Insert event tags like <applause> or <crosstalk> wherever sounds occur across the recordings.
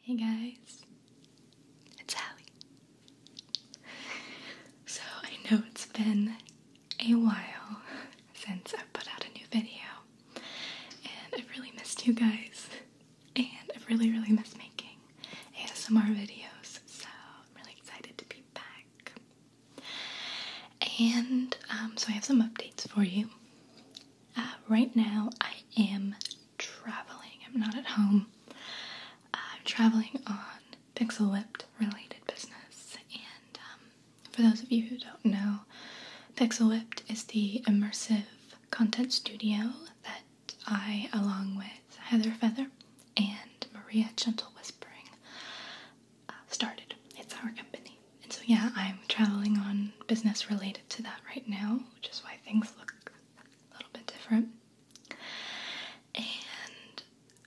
Hey guys, it's Hallie. So I know it's been a while since I put out a new video, and I've really missed you guys and I have really, really missed making ASMR videos, so I'm really excited to be back. And um, so I have some updates for you. Uh, right now, I am traveling. I'm not at home. I'm traveling on Pixel Whipped related business. And um, for those of you who don't know, Pixel Whipped is the immersive content studio that I, along with Heather Feather and Maria Gentle Whispering, uh, started. It's our company. And so, yeah, I'm traveling on business related to that right now, which is why things look a little bit different. And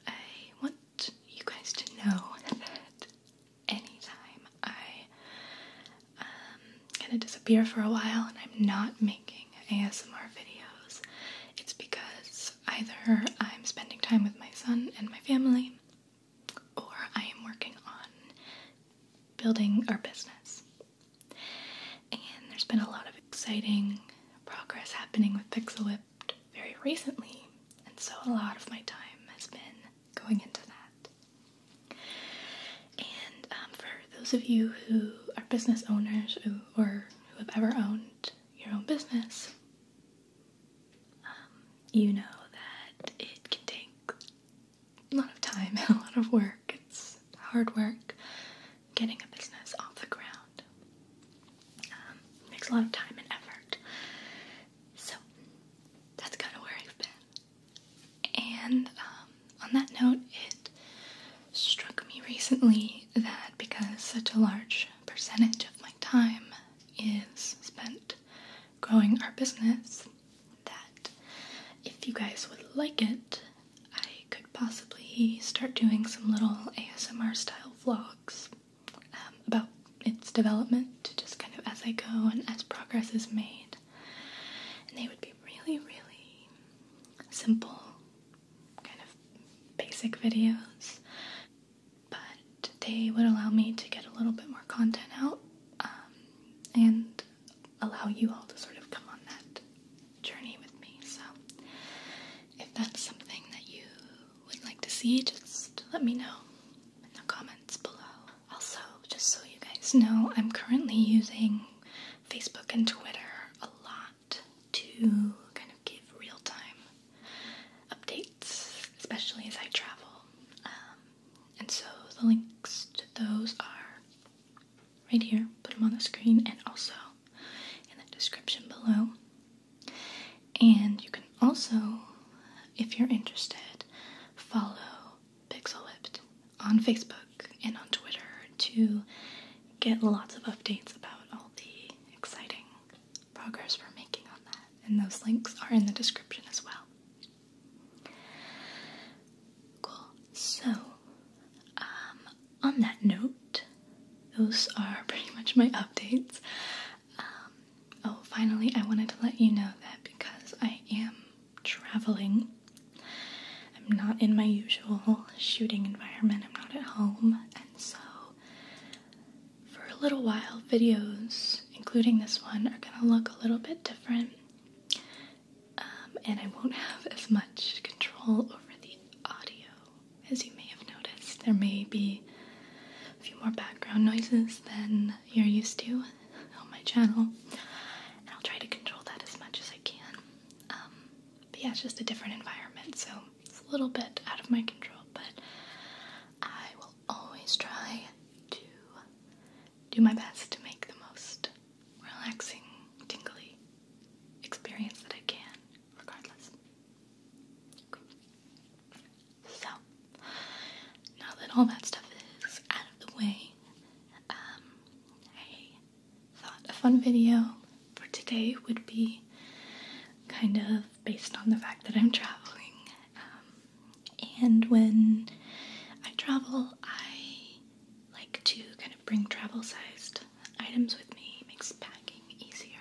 I want you guys to know <laughs> that anytime I um, gonna disappear for a while and I'm not making ASMR videos, it's because either I'm spending time with my son and my family or I am working on building our business. And there's been a lot of exciting progress happening with Pixel very recently, and so a lot of my time has been going into that. And um, for those of you who are business owners or who have ever owned your own business, um, you know that it can take a lot of time and <laughs> a lot of work. It's hard work getting a business off the ground. It um, takes a lot of time and effort. So that's kind of where I've been. And on that note, it struck me recently that because such a large percentage of my time is spent growing our business, that if you guys would like it, I could possibly start doing some little ASMR style vlogs um, about its development, just kind of as I go and as progress is made. And they would be really, really simple, kind of basic videos, but they would allow me to get a little bit more content out um, and allow you all to sort of come on that journey with me. So, if that's something that you would like to see, just let me know in the comments below. Also, just so you guys know, I'm currently using Facebook and Twitter a lot to kind of give real time updates, especially as I travel. Um, and so the links to those are right here, put them on the screen, and also in the description below. And you can also, if you're interested, follow Pixel Whipped on Facebook and on Twitter to get lots of updates about all the exciting progress we're making on that. And those links are in the description as well. Cool. So, um, on that note, those are <laughs> pretty much my updates. Um, oh, finally, I wanted to let you know that because I am traveling I'm not in my usual shooting environment, I'm not at home, and so for a little while, videos, including this one, are gonna look a little bit different. Um, and I won't have as much control over the audio as you may have noticed. There may be a few more background noises than you're used to on my channel, and I'll try to control that as much as I can. Um, but yeah, it's just a different environment, so it's a little bit out of my control, but I will always try to do my best to make the most relaxing, tingly experience that I can, regardless. So, now that all that stuff is out of the way, um, I thought a fun video for today would be kind of based on the fact that I'm traveling. Um, and when I travel, I like to kind of bring travel sized items with me, makes packing easier.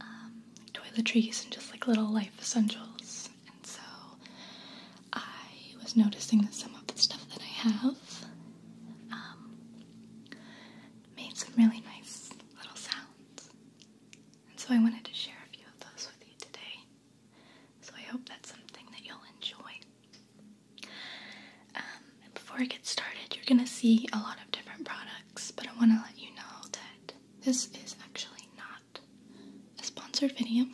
Um, toiletries and just like little life essentials. And so I was noticing some of the stuff that I have um, made some really nice little sounds. And so I wanted to share a few of those with you today. So I hope that's something that you'll enjoy. Um, and before I get started, you're going to see a lot of different products, but I want to let you know that this is actually not a sponsored video.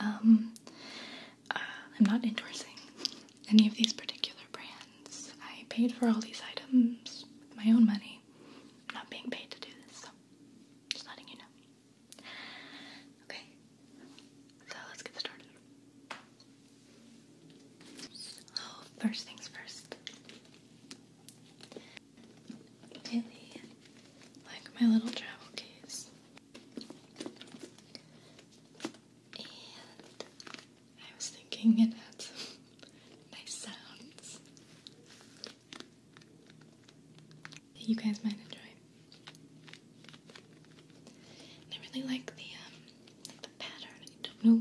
Um, uh, I'm not endorsing any of these particular brands. I paid for all these items with my own money. not being paid to do this, just letting you know. Okay, so let's get started. So, first things first. Really like my little travel case and I was thinking it had some <laughs> nice sounds that you guys might enjoy. I really like the um, the pattern. I don't know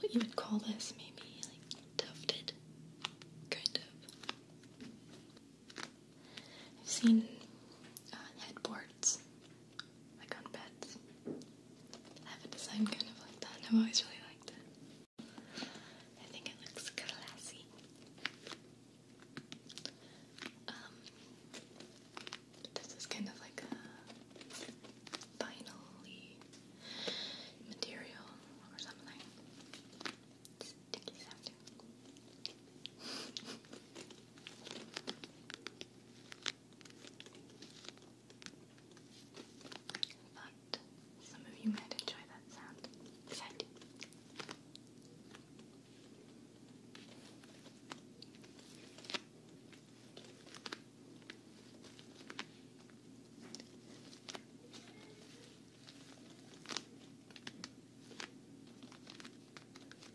what you would call this. Maybe like tufted, kind of. I've seen uh, headboards like on beds. I have a design kind of like that, I've always really liked it. I think it looks classy. Um, this is kind of like a vinyl material or something. sticky sounding. <laughs> But some of you might enjoy that sound, because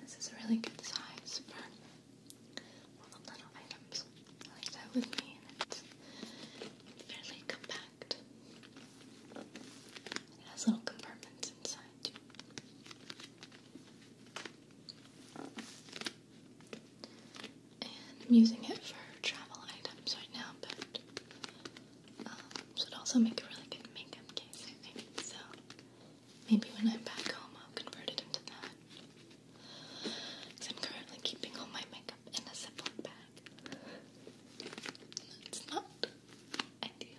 This is a really good size for little items like that with me, and it's fairly compact. It has little compartments inside too. And I'm using it for travel items right now, but um, this would also make a really good makeup case, I think. So maybe when I'm back home, I'll convert it into that. I'm currently keeping all my makeup in a Ziploc bag. It's not ideal.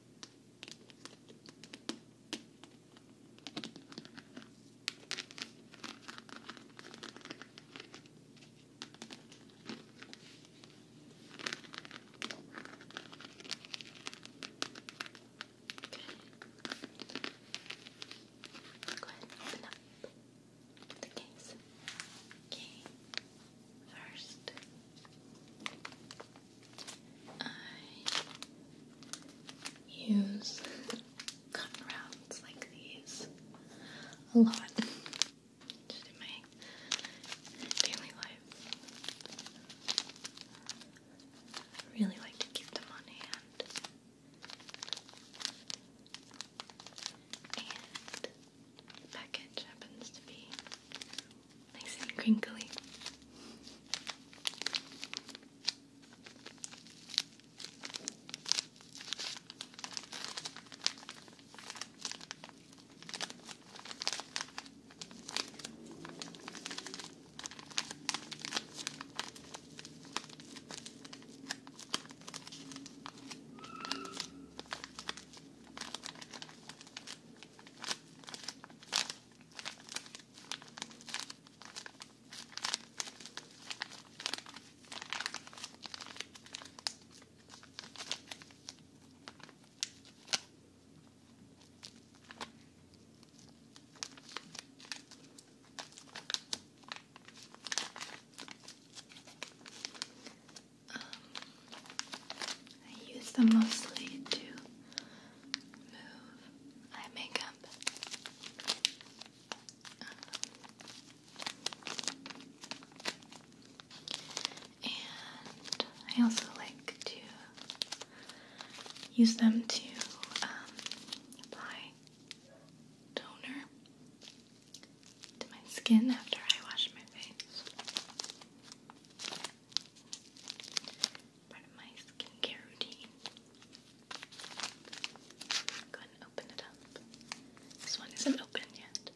Go ahead open up the case. Okay, first, I use cotton rounds like these a lot just in my daily life. I really like to keep them on hand. And the package happens to be nice and crinkly. Um, I use them mostly to move eye makeup. Um, and I also like to use them to um, apply toner to my skin after I wash my face part of my skincare routine. Go ahead and open it up. This one isn't open yet.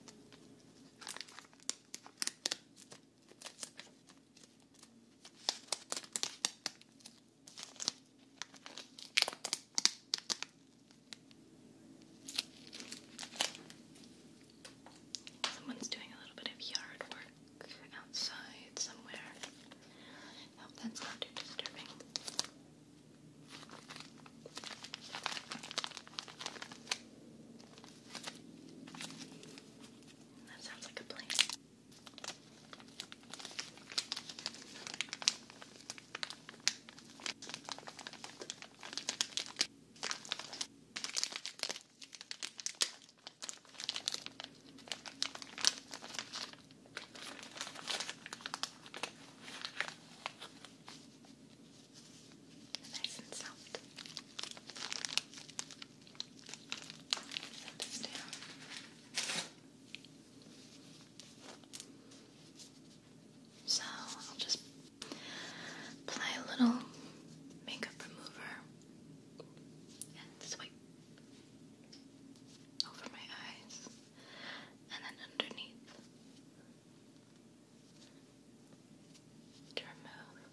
Someone's doing a little bit of yard work outside somewhere. hope that's not too disturbing. That sounds like a plane. Nice and soft. Set this down. So I'll just apply a little makeup remover and swipe, over my eyes and then underneath to remove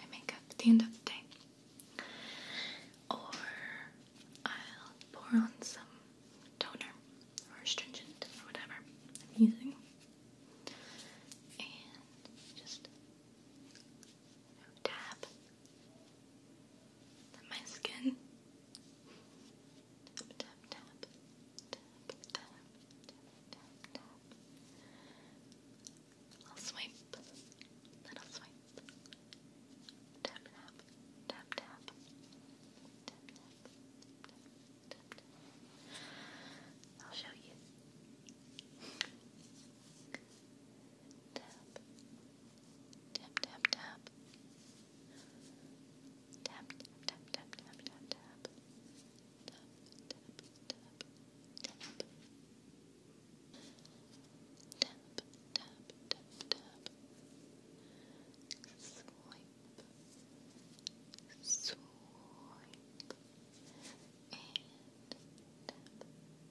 my makeup at the end of the day. Or I'll pour on some toner or astringent or whatever I'm using and just dab my skin. Tap, swipe, little swipe. tap, tap, tap, tap, tap, tap. I'll show you tap, tap, tap, tap, tap, tap, tap, tap, tap, tap, tap, tap, tap, tap. Tap, tap, tap, tap. Swipe, swipe, and tap, tap,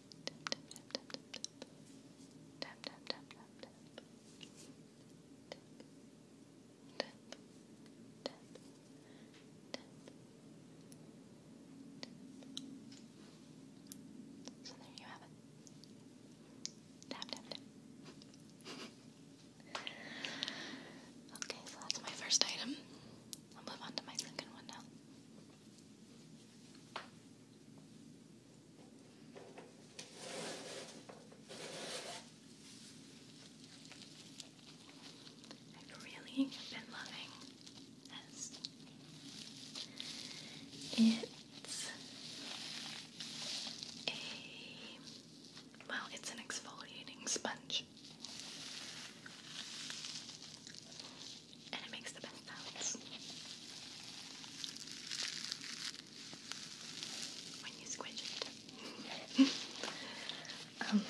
tap so there you have it <laughs> okay so that's my first item I'll move on to my second one now I've really been loving this. It's a well, it's an exfoliating sponge and it makes the best sounds. When you squish it. <laughs> Um,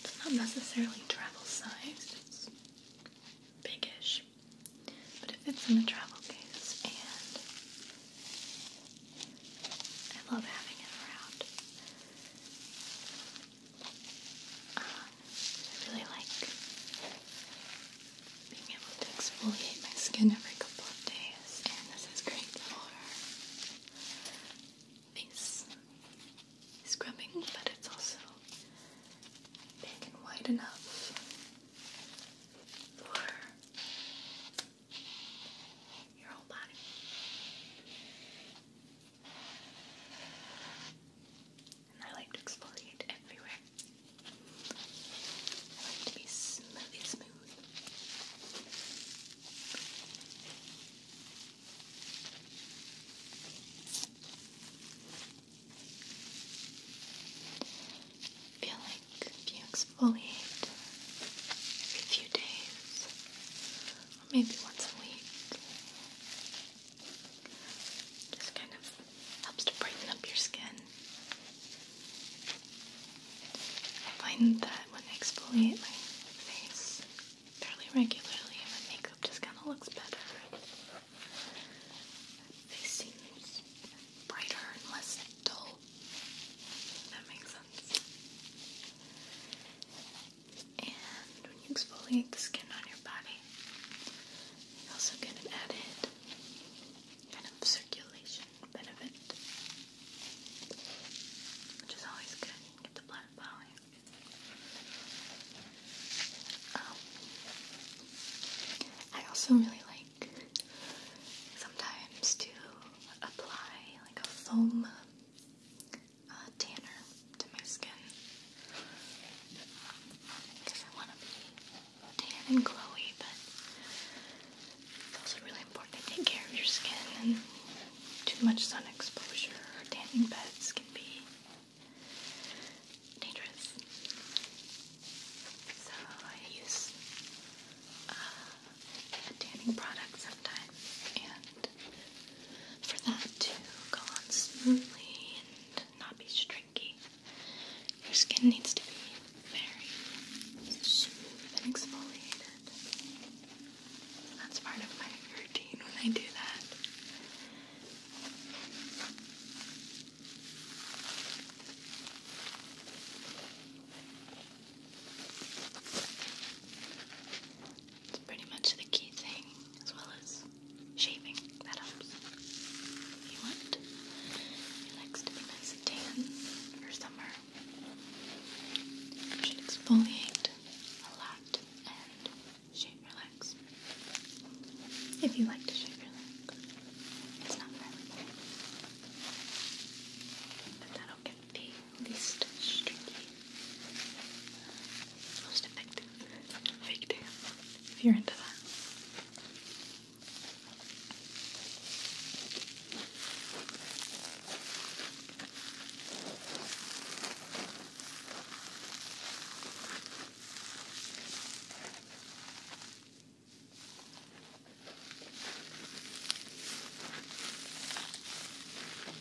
it's not necessarily travel sized, it's biggish, but it fits in the travel case and I love having it around. I really like being able to exfoliate my skin every couple of days, and this is great for face scrubbing, but it's also big and wide enough for your whole body. And I like to exfoliate everywhere. I like to be smoothly smooth. I feel like if you exfoliate every few days maybe once a week. Just kind of helps to brighten up your skin. I find that when I exfoliate my face fairly regularly, my makeup just kind of looks better. My seems brighter and less dull. That makes sense. And when you exfoliate the skin on your body, you also get an added kind of circulation benefit, which is always good. Get the blood flowing. Um, I also really like sometimes to apply like a foam uh, tanner to my skin because I want to be tan and glowy, but it's also really important to take care of your skin and too much sun exposure or tanning beds can be dangerous. So I use uh, a tanning product sometimes and for that to go on smoothly and not be stringy, your skin needs to be very smooth and exfoliated. That's part of my routine when I do that. It's pretty much the key thing, as well as shaving. That helps. If you want, it likes to be nice and tan for summer. You should exfoliate a lot and shave your legs. If you like to shave your legs, it's not really But that'll get the least streaky most effective. Effective. If you're into that.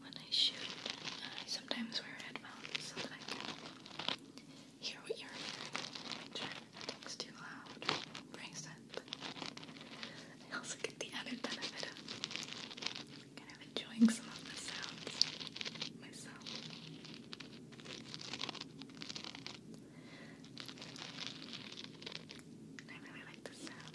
when I shoot, I sometimes wear headphones so that I can hear what you're hearing. Make sure nothing's too loud or brings I also get the added benefit of kind of enjoying some of the sounds myself. I really like the sound.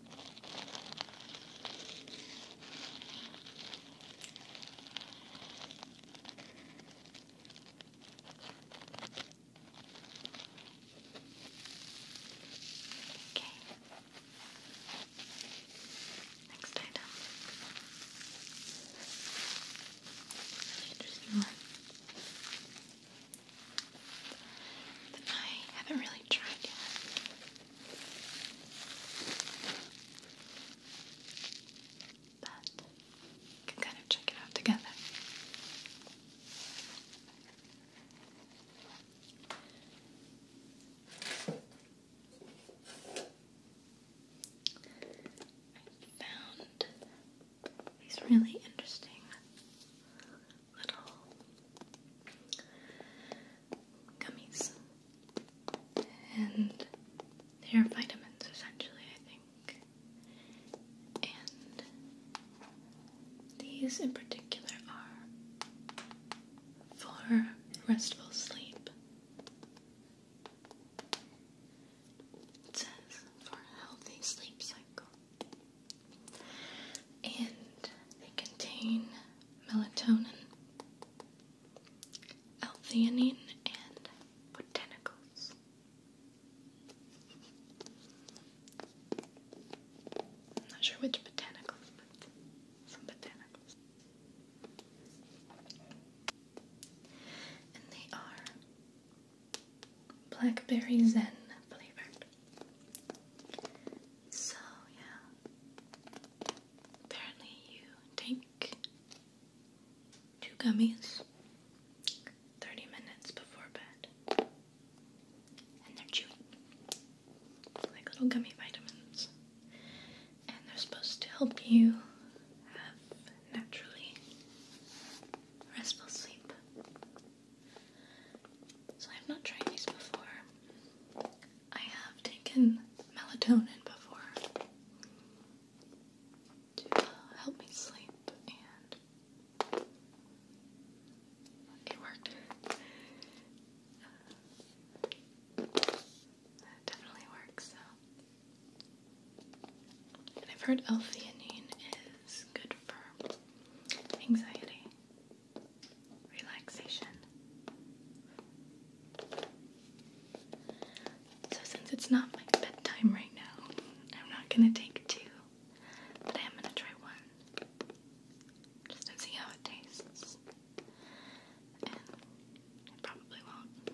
Okay. Next item. Interesting one. I haven't really tried yet we can kind of check it out together. I found these really interesting little gummies and they're vitamins essentially, I think. And these in particular are for restful sleep. It says for healthy sleep cycle. And they contain melatonin, L-theanine and botanicals. I'm not sure which botanicals, but some botanicals. And they are blackberry zen flavored. So yeah, Apparently, you take two gummies 30 minutes before bed, and they're chewy, like little gummy vitamins, and they're supposed to help you have naturally restful sleep. So, I've not tried these before. I have taken melatonin before to help me sleep, and it worked. definitely works. I've heard L-theanine is good for anxiety relaxation. So, since it's not bedtime right now, I'm not gonna take two, but I am gonna try one just to see how it tastes. And it probably won't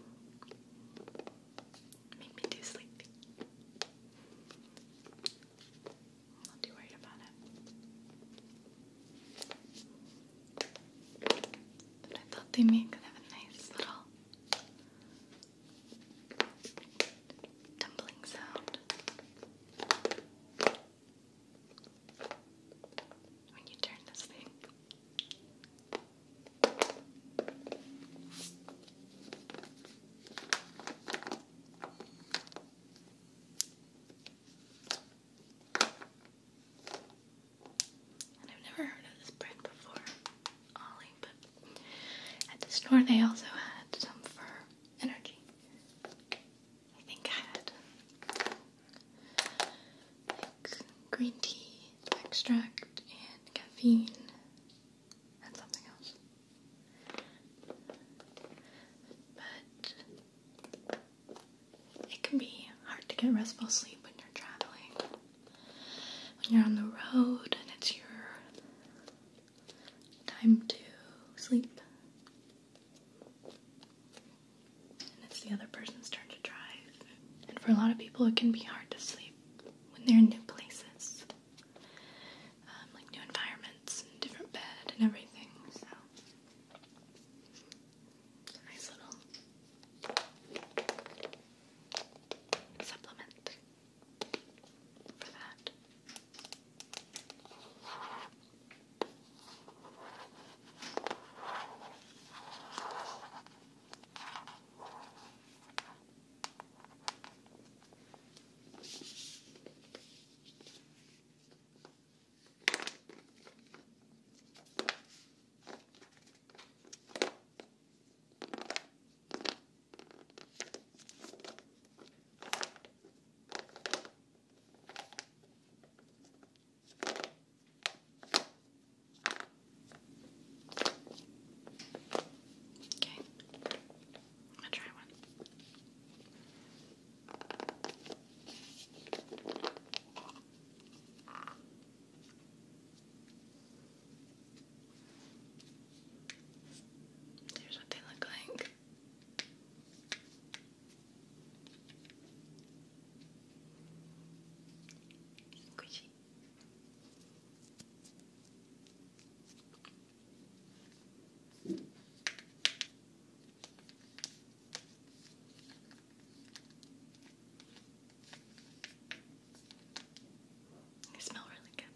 make me too sleepy. not too worried about it. But I thought they made kind of a nice little tumbling sound when you turn this thing. I've never heard of this brand before, Ollie, but at the store they also had some for energy. I think had green tea extract and caffeine and something else. But it can be hard to get restful sleep when you're traveling. When you're on the road and it's your time to sleep. And it's the other person's turn to drive. And for a lot of people, it can be hard to sleep when they're in new places, um, like new environments, different bed, and everything. So Nice little supplement for that. Okay, I'll try one. There's what they look like. Squishy. They smell really good.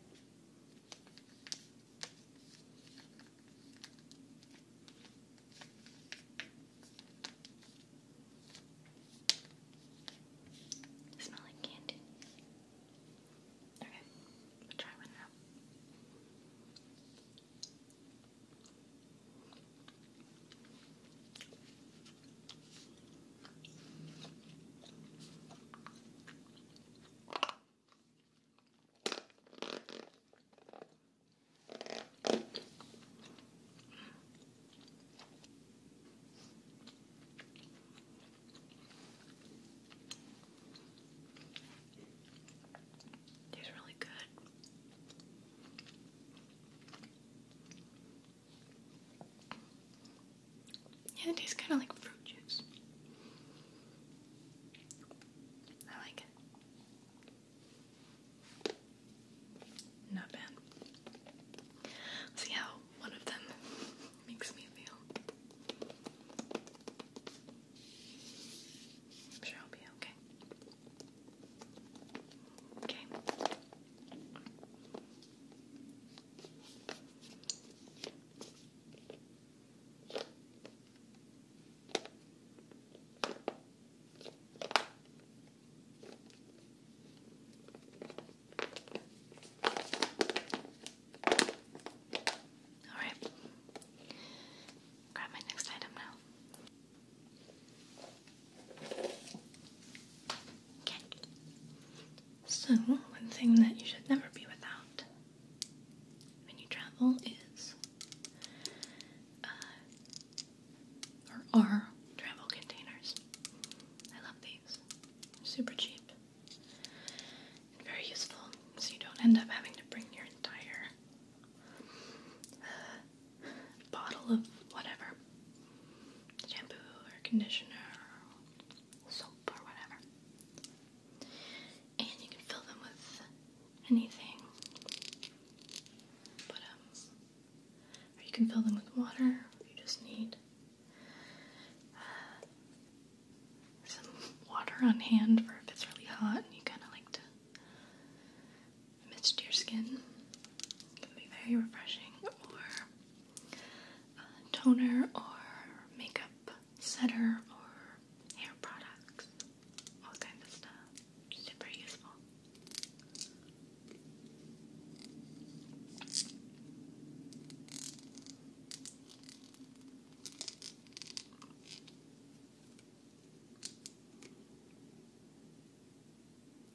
smell like candy. Okay, we'll try one now. Tastes really good. Yeah, it tastes kind of like fruit juice. I like it. Not bad. See how one of them <laughs> makes me feel. sure I'll be okay. Okay. All right. Grab my next item now. So, one thing that you should never be without when you travel is, uh, are travel containers. I love these. super cheap and very useful, so you don't end up having to bring your entire bottle of whatever shampoo or conditioner soap or whatever. And you can fill them with anything. But, um, you can fill them with water, you just need uh, some water on hand for if it's really hot and you kind of like to mist your skin. can be very refreshing, or uh, toner, or makeup setter, or hair products. All kinds of stuff. Super useful.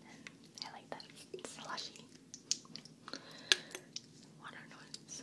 And I like that slushy water noise.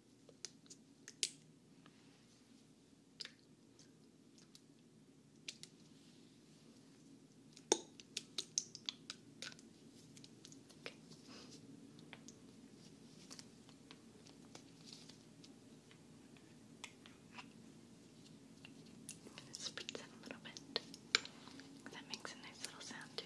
Okay. I'm going to spritz it a little bit. That makes a nice little sound too.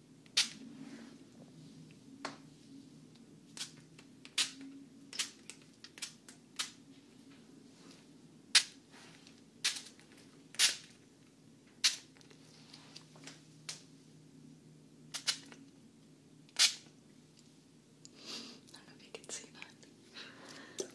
I don't know if you can see that.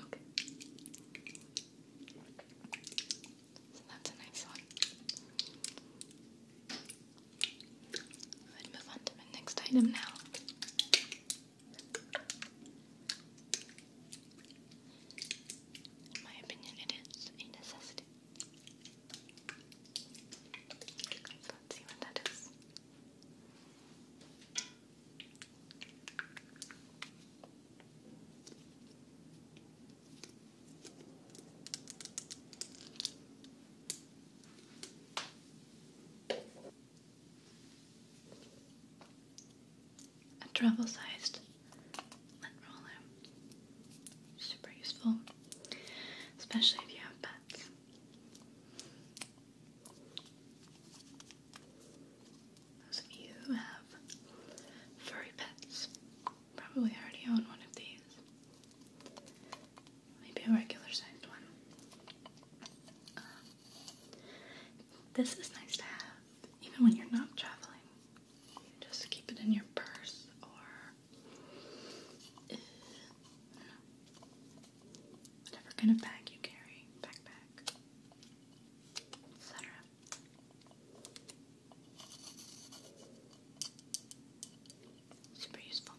Okay. So that's a nice one. We'll move on to my next item now. In my opinion, it is a necessity. Let's see what that is. A travel sized lint roller. Super useful, especially if you have pets. Those of you who have furry pets probably already own one of these maybe a regular sized one. Um, this is nice to have even when you're not traveling. just keep it in your purse or eh, whatever kind of bag you carry, backpack, etc super useful.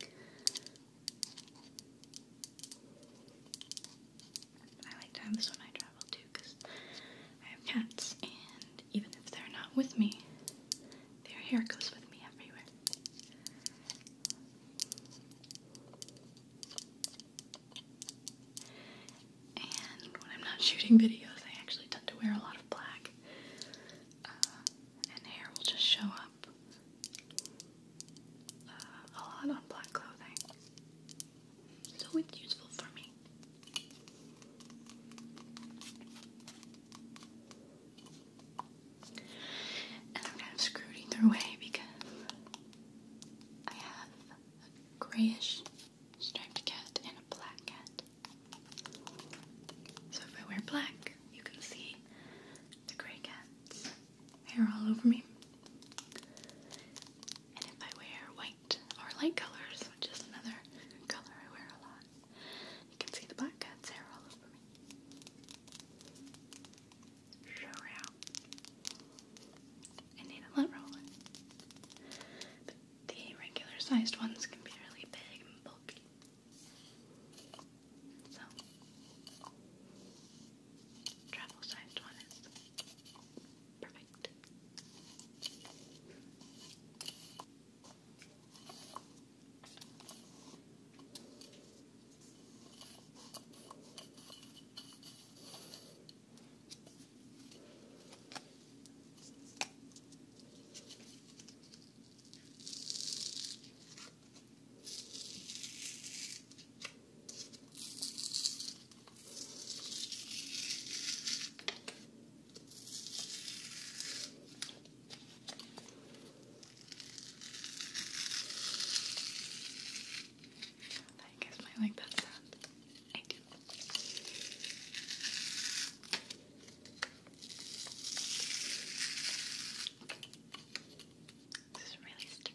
I like to have this when I travel too because I have cats, and even if they're not with me, their hair goes with me everywhere. And when I'm not shooting videos, I actually tend to wear a lot of black, uh, and hair will just show uh, a lot on black clothing, so it's useful for me. And I'm kind of screwed either way because I have a grayish striped cat and a black cat. So if I wear black, you can see the grey cats' hair all over me. And if I wear white or light colors, which is another color I wear a lot, you can see the black cat's hair all over me. Show out. I need a lint roller. the regular sized ones can be really big and bulky. So, travel sized one is perfect. I guess I like that sound. I do. Okay. This is really sticky.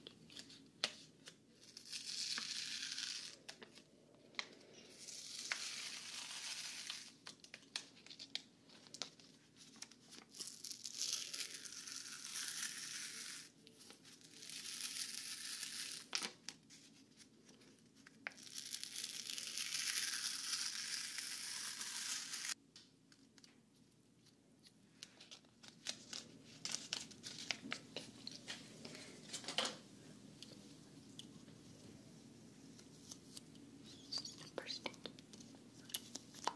Super sticky. That's fun.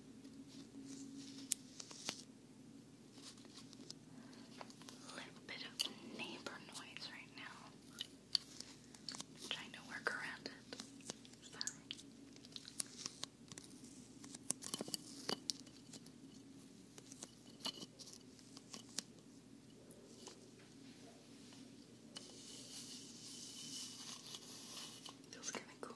Little bit of neighbor noise right now. trying to work around it. Sorry. Feels kind of cool.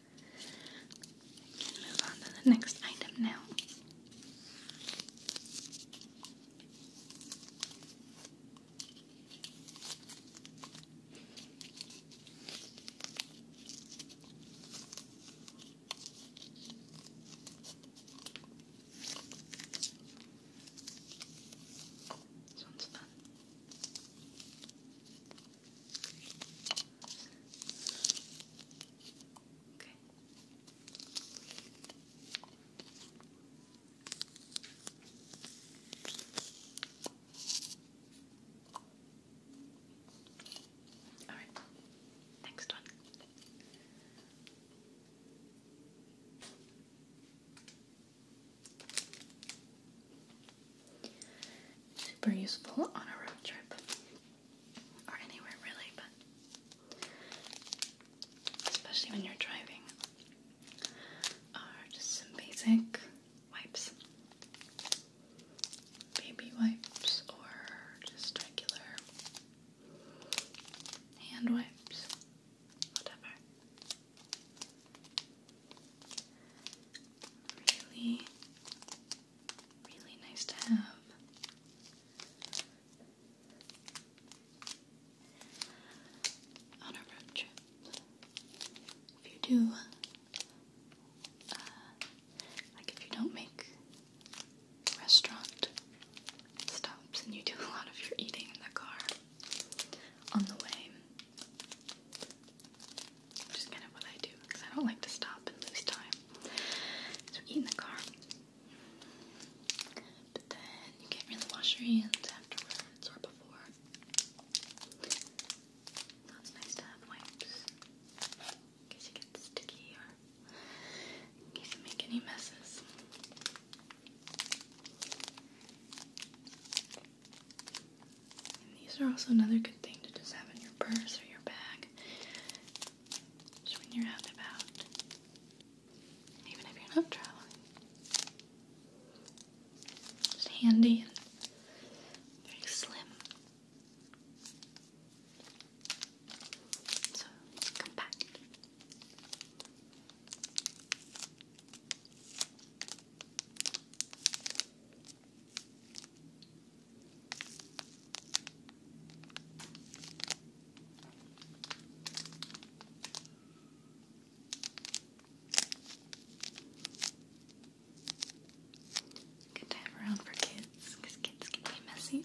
I can move on to the next item now. Okay. All right. Next one. Super useful on a road trip or anywhere really, but especially when you're driving, are just some basic wipes. Baby wipes or just regular hand wipes, whatever. Really really nice to have. On a road trip, if you do, uh, like if you don't make restaurant stops and you do a lot of your eating in the car on the way, which is kind of what I do because I don't like to stop and lose time. So eat in the car. But then you can't really wash your hands afterwards or before. it's nice to have wipes. In you get sticky or you make any messes. these are also another good good thing to just have in your purse or your bag. when you're out and about. Even if you're not traveling. Just handy and very slim. So compact. Good to have around for kids, kids can messy.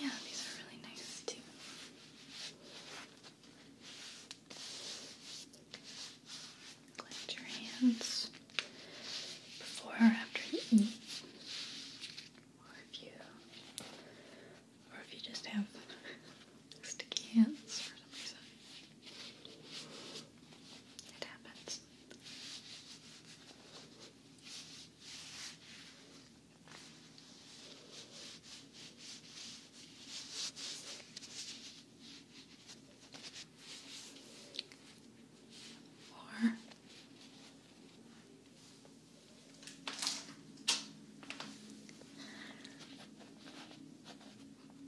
yeah, these are really nice too. Cleanse your hands before or after you eat. Or if you or if you just have sticky hands for some reason. It happens. Or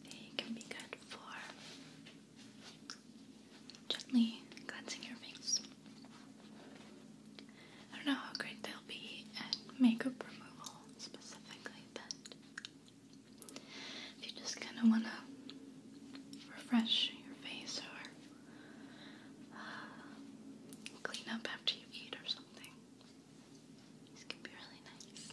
it can be good for gently cleansing your face. I don't know how great they'll be at makeup removal specifically, but if you just kind of want to refresh your face or uh, clean up after you eat or something, these can be really nice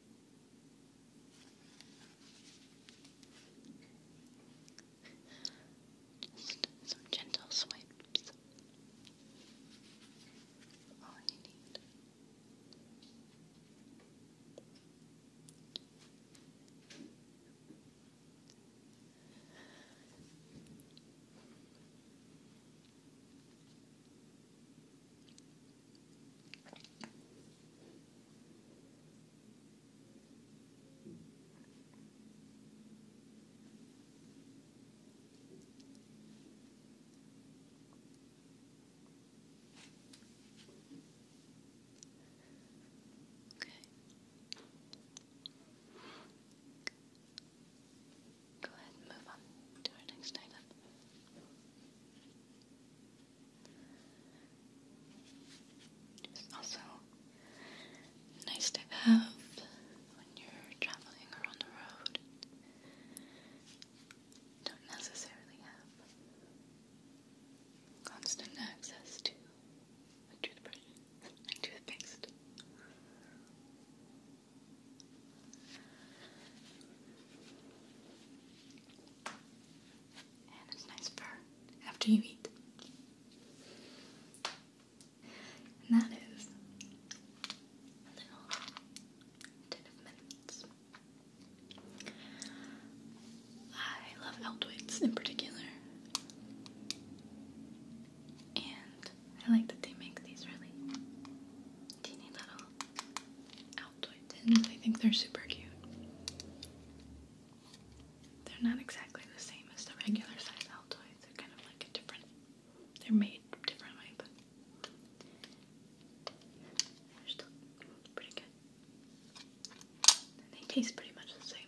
Just some gentle swipes. All you need. Okay. Go ahead move on to our next item. It's also nice to have when you're traveling or on the road. Don't necessarily have constant access to a toothbrush toothpaste. And it's nice fur after you eat. And that is a little tin of I love Eldwits in particular. And I like that they make these really teeny little Altoid I think they're super cute. They're not exactly the same as the regular size Altoids. They're kind of like a different. They're made differently, but they're still pretty good. they taste pretty much the same.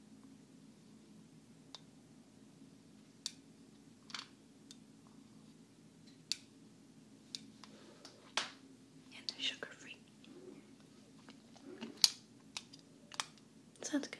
And they're sugar free. Sounds good.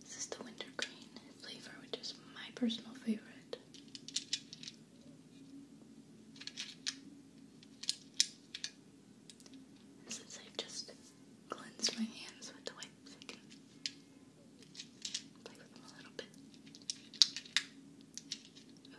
This is the wintergreen flavor, which is my personal favorite. since i just cleansed my hands with the wipes, I can play with them a little bit. Ooh.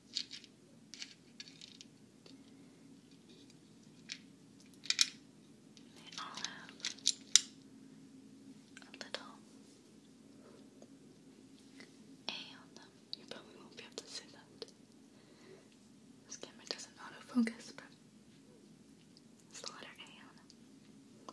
They all have a little A on them. You probably won't be able to see that. This camera doesn't autofocus, but it's the letter A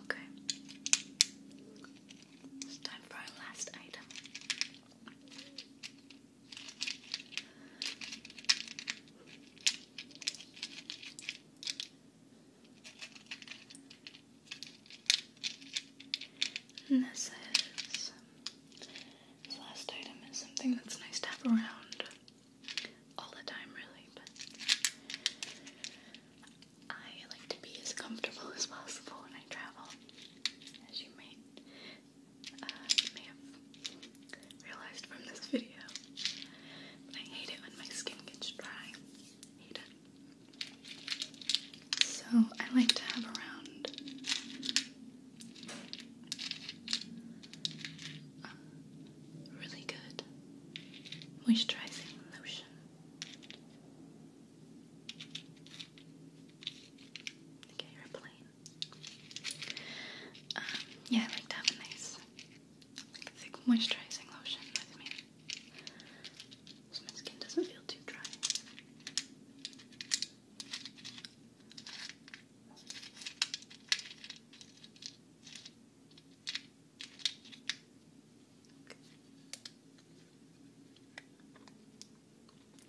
Okay. It's time for our last item. And this is this last item is something that's nice to have around all the time, really, I like to be as comfortable <laughs> as possible when I travel, as you may, uh, may have realized from this video. But I hate it when my skin gets dry. Hate it. So I like to have around um, really good moisturizing lotion. Okay, you um, yeah, I like to have a nice thick moisturizing lotion with me. So my skin doesn't feel too dry.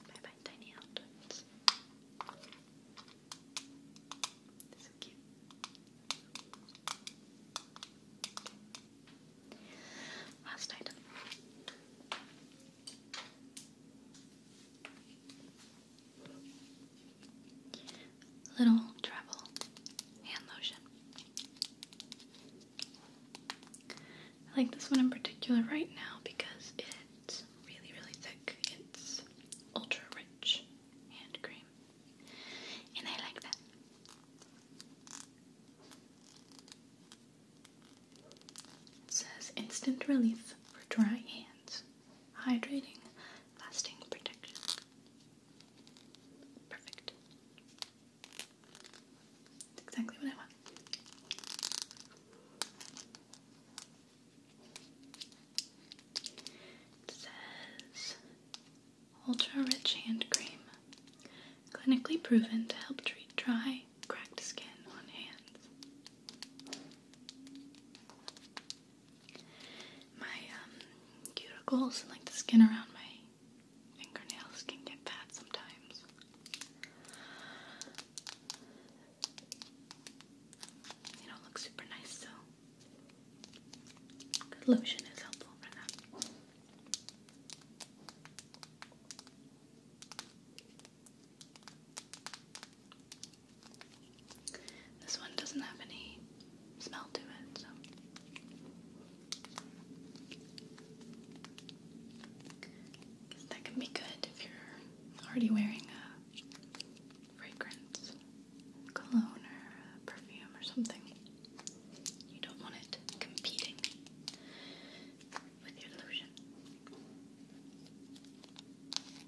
Bye bye, tiny outfits. So cute. Last item. Little travel hand lotion. I like this one in particular right now because it's really, really thick. It's ultra rich hand cream, and I like that. says instant relief for dry hands hydrating, lasting protection. Perfect. exactly what I want. says Ultra Rich Hand Cream. Clinically proven to help treat dry, cracked skin on hands. My um, cuticles and like the skin around my fingernails can get bad sometimes. They don't look super nice, so good lotion is helpful for that. This one doesn't have any smell to it, so that can be good if you're already wearing a fragrance, cologne, or perfume, or something. You don't want it competing with your lotion.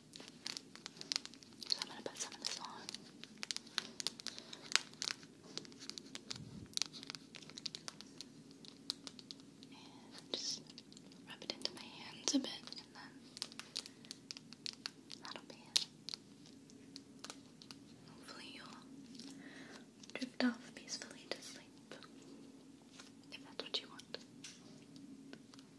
So I'm going to put some of this on. And just rub it into my hands a bit, and then that'll be it. Hopefully, you'll drift off peacefully to sleep if that's what you want.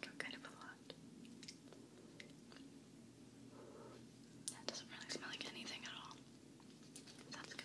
Got kind of a lot. That doesn't really smell like anything at all. That's good.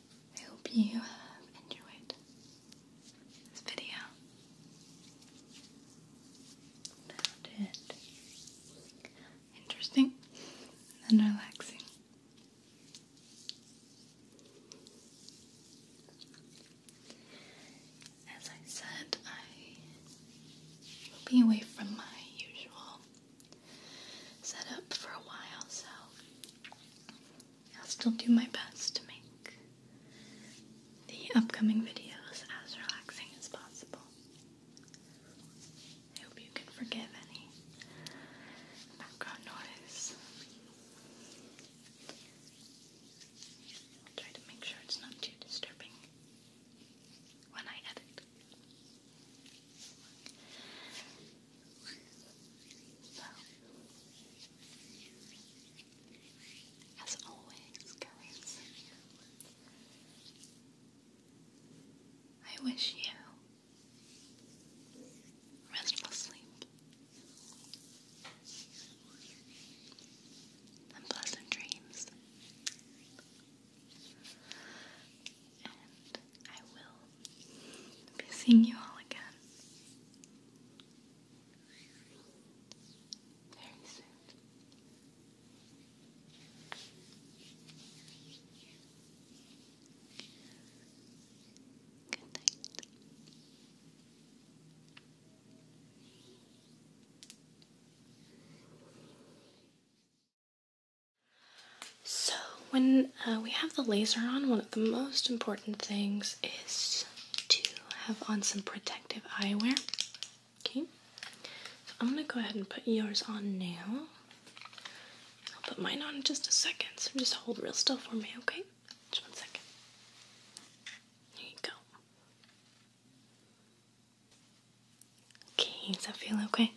I hope you have enjoyed this video. Found it interesting and relaxing. As I said, I will be away from my usual setup for a while, so I'll still do my best to make the upcoming videos as relaxing as possible. I hope you can forgive any background noise. I'll try to make sure it's not too disturbing when I edit as always, guys, I wish you restful sleep and pleasant dreams. And I will be seeing you all again very soon. Good night. So when uh, we have the laser on, one of the most important things is to have on some protective eyewear. Okay, I'm gonna go ahead and put yours on now. I'll put mine on in just a second, so just hold real still for me, okay? Just one second. There you go. Okay, does that feel okay?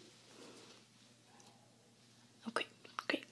Okay, great.